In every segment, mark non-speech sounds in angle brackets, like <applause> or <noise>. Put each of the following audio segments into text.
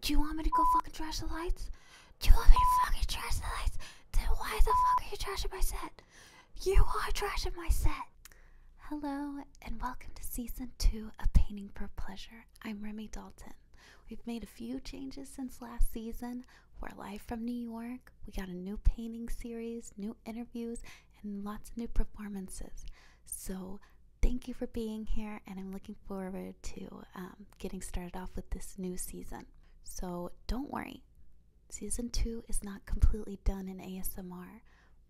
Do you want me to go fucking trash the lights? Do you want me to fucking trash the lights? Then why the fuck are you trashing my set? You are trashing my set. Hello and welcome to season two of Painting for Pleasure. I'm Remy Dalton. We've made a few changes since last season. We're live from New York. We got a new painting series, new interviews, and lots of new performances. So thank you for being here, and I'm looking forward to um, getting started off with this new season. So don't worry, season two is not completely done in ASMR,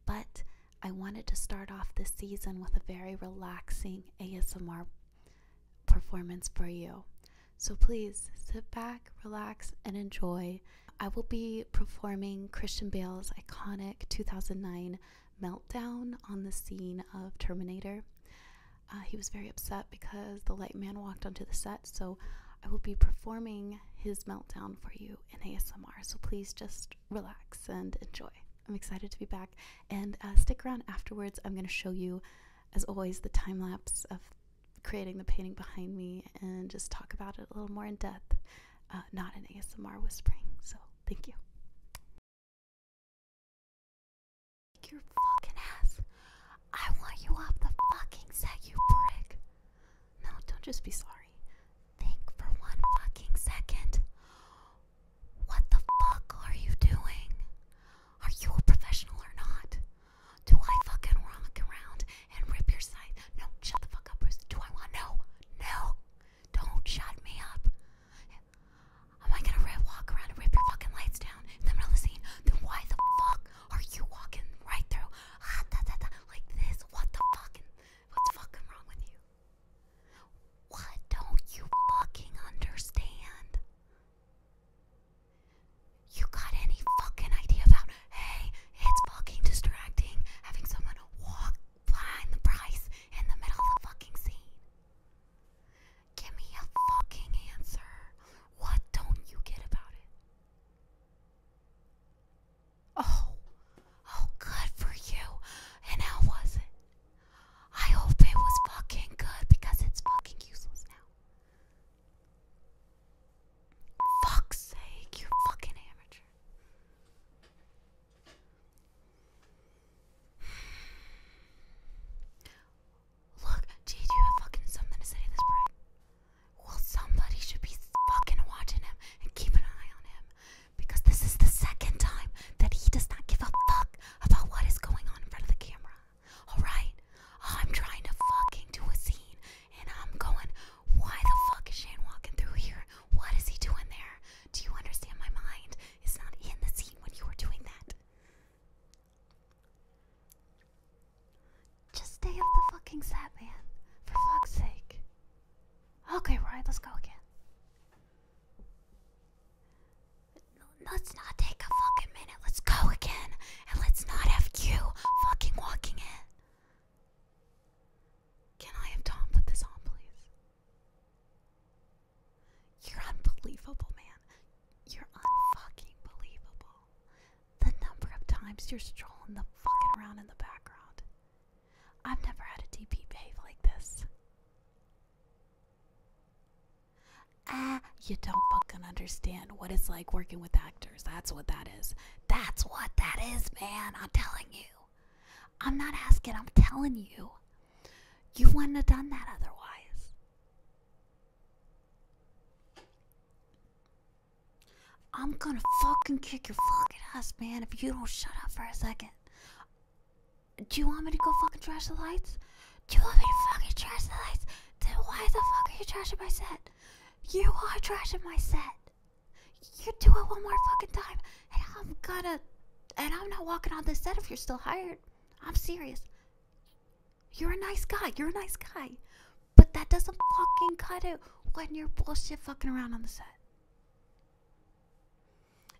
but I wanted to start off this season with a very relaxing ASMR performance for you. So please sit back, relax, and enjoy. I will be performing Christian Bale's iconic 2009 meltdown on the scene of Terminator. Uh, he was very upset because the light man walked onto the set, so I will be performing his meltdown for you in ASMR. So please just relax and enjoy. I'm excited to be back and uh, stick around afterwards. I'm going to show you, as always, the time lapse of creating the painting behind me and just talk about it a little more in depth. Uh, not an ASMR whispering. So thank you. your fucking ass. I want you off the fucking set, you prick. No, don't just be sorry. Think for one fucking second. What the fuck are you doing? Are you a professional or not? Do I fucking rock around and rip your side. No, shut the fuck up, Bruce. Do I want? No, no. Don't shut me up. Am I gonna walk around and rip your fucking lights down in the middle of the Then why the fuck are you walking right through ah, like this? What the fucking? What's fucking wrong with you? What don't you fucking understand? You got any fucking idea about hey, it's fucking distracting having someone walk behind the price in the middle of the fucking scene. Give me a fucking answer. What don't you get about it? Oh, oh, good for you. And how was it? I hope it was fucking good because it's fucking useless now. Fuck's sake, you fucking amateur. Look, gee, you have fucking something to say to this prick? Well, somebody should be fucking watching him and keep an eye on him. Because this is the second time that he does not give a fuck about what is going on in front of the camera. Alright? I'm trying to fucking do a scene and I'm going, why the fuck is Shane walking through here? What is he doing there? Do you understand my mind? It's not in the scene when you were doing that. Just stay up the fucking set, man. For fuck's sake. Okay, right, let's go again. Let's not take a fucking minute. Let's go again. And let's not have you fucking walking in. Can I have Tom put this on, please? You're unbelievable, man. You're unfucking believable. The number of times you're strolling the fucking around in the background. I've never had a DP behave like this. Ah, you don't fucking understand what it's like working with actors. That's what that is. That's what that is, man. I'm telling you. I'm not asking, I'm telling you. You wouldn't have done that otherwise. I'm gonna fucking kick your fucking ass, man, if you don't shut up for a second. Do you want me to go fucking trash the lights? Do you want me to fucking trash the lights? Then why the fuck are you trashing my set? You are trash trashing my set. You do it one more fucking time, and I'm gonna. And I'm not walking on this set if you're still hired. I'm serious. You're a nice guy. You're a nice guy. But that doesn't fucking cut it when you're bullshit fucking around on the set.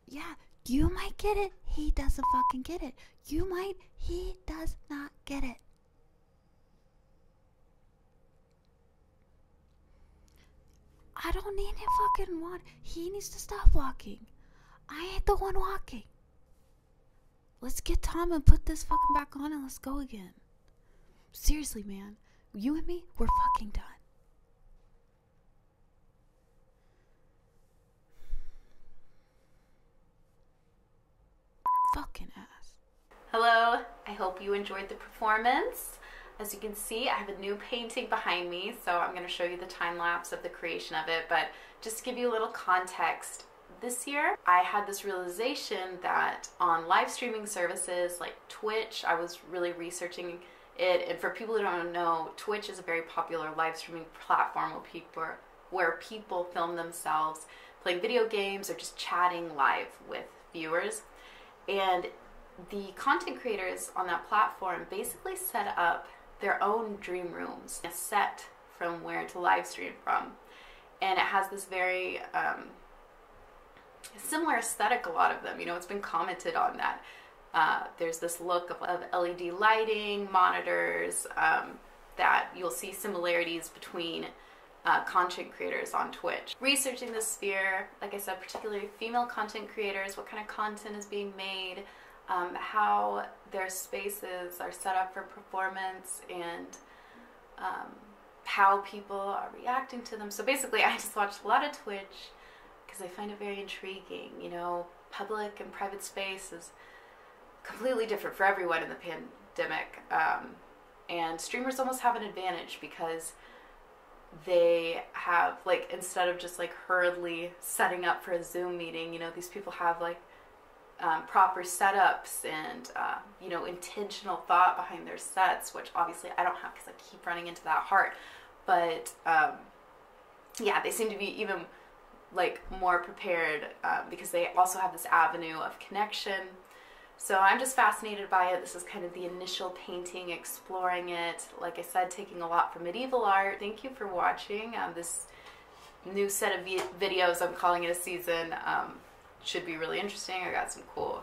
Yeah, you might get it. He doesn't fucking get it. You might. He does not get it. I don't need him fucking walk. He needs to stop walking. I ain't the one walking. Let's get Tom and put this fucking back on and let's go again. Seriously, man. You and me, we're fucking done. Fucking ass. Hello, I hope you enjoyed the performance. As you can see, I have a new painting behind me, so I'm going to show you the time lapse of the creation of it, but just give you a little context, this year, I had this realization that on live streaming services like Twitch, I was really researching it, and for people who don't know, Twitch is a very popular live streaming platform where people where people film themselves playing video games or just chatting live with viewers. And the content creators on that platform basically set up their own dream rooms, a set from where to live stream from. And it has this very um, similar aesthetic, a lot of them. You know, it's been commented on that. Uh, there's this look of, LED lighting, monitors, um, that you'll see similarities between uh, content creators on Twitch. Researching the sphere, like I said, particularly female content creators, what kind of content is being made, um, how their spaces are set up for performance, and um, how people are reacting to them. So basically, <laughs> I just watched a lot of Twitch because I find it very intriguing. You know, public and private spaces completely different for everyone in the pandemic. Um, and streamers almost have an advantage because they have like instead of just like hurriedly setting up for a Zoom meeting, you know, these people have like um, proper setups and uh, you know intentional thought behind their sets, which obviously I don't have because I keep running into that heart. But um, yeah, they seem to be even like more prepared um, because they also have this avenue of connection. So I'm just fascinated by it. This is kind of the initial painting, exploring it. Like I said, taking a lot from medieval art. Thank you for watching. Um, this new set of videos, I'm calling it a season, um, should be really interesting. I got some cool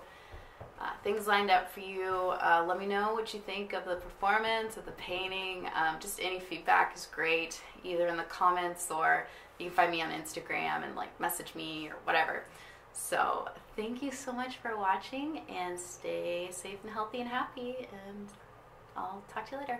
uh, things lined up for you. Uh, let me know what you think of the performance, of the painting. just any feedback is great, either in the comments or you can find me on Instagram and like message me or whatever. So thank you so much for watching and stay safe and healthy and happy and I'll talk to you later.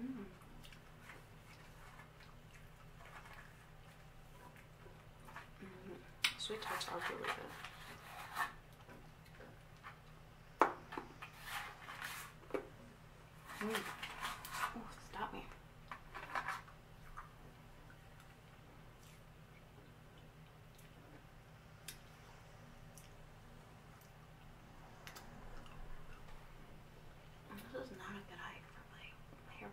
Mm. Mm. Sweet tarts are really good. Mm. Oh, stop me. This is not a good height for my, my hair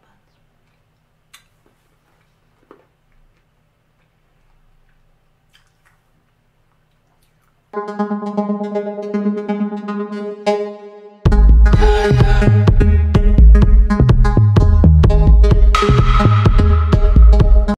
buns.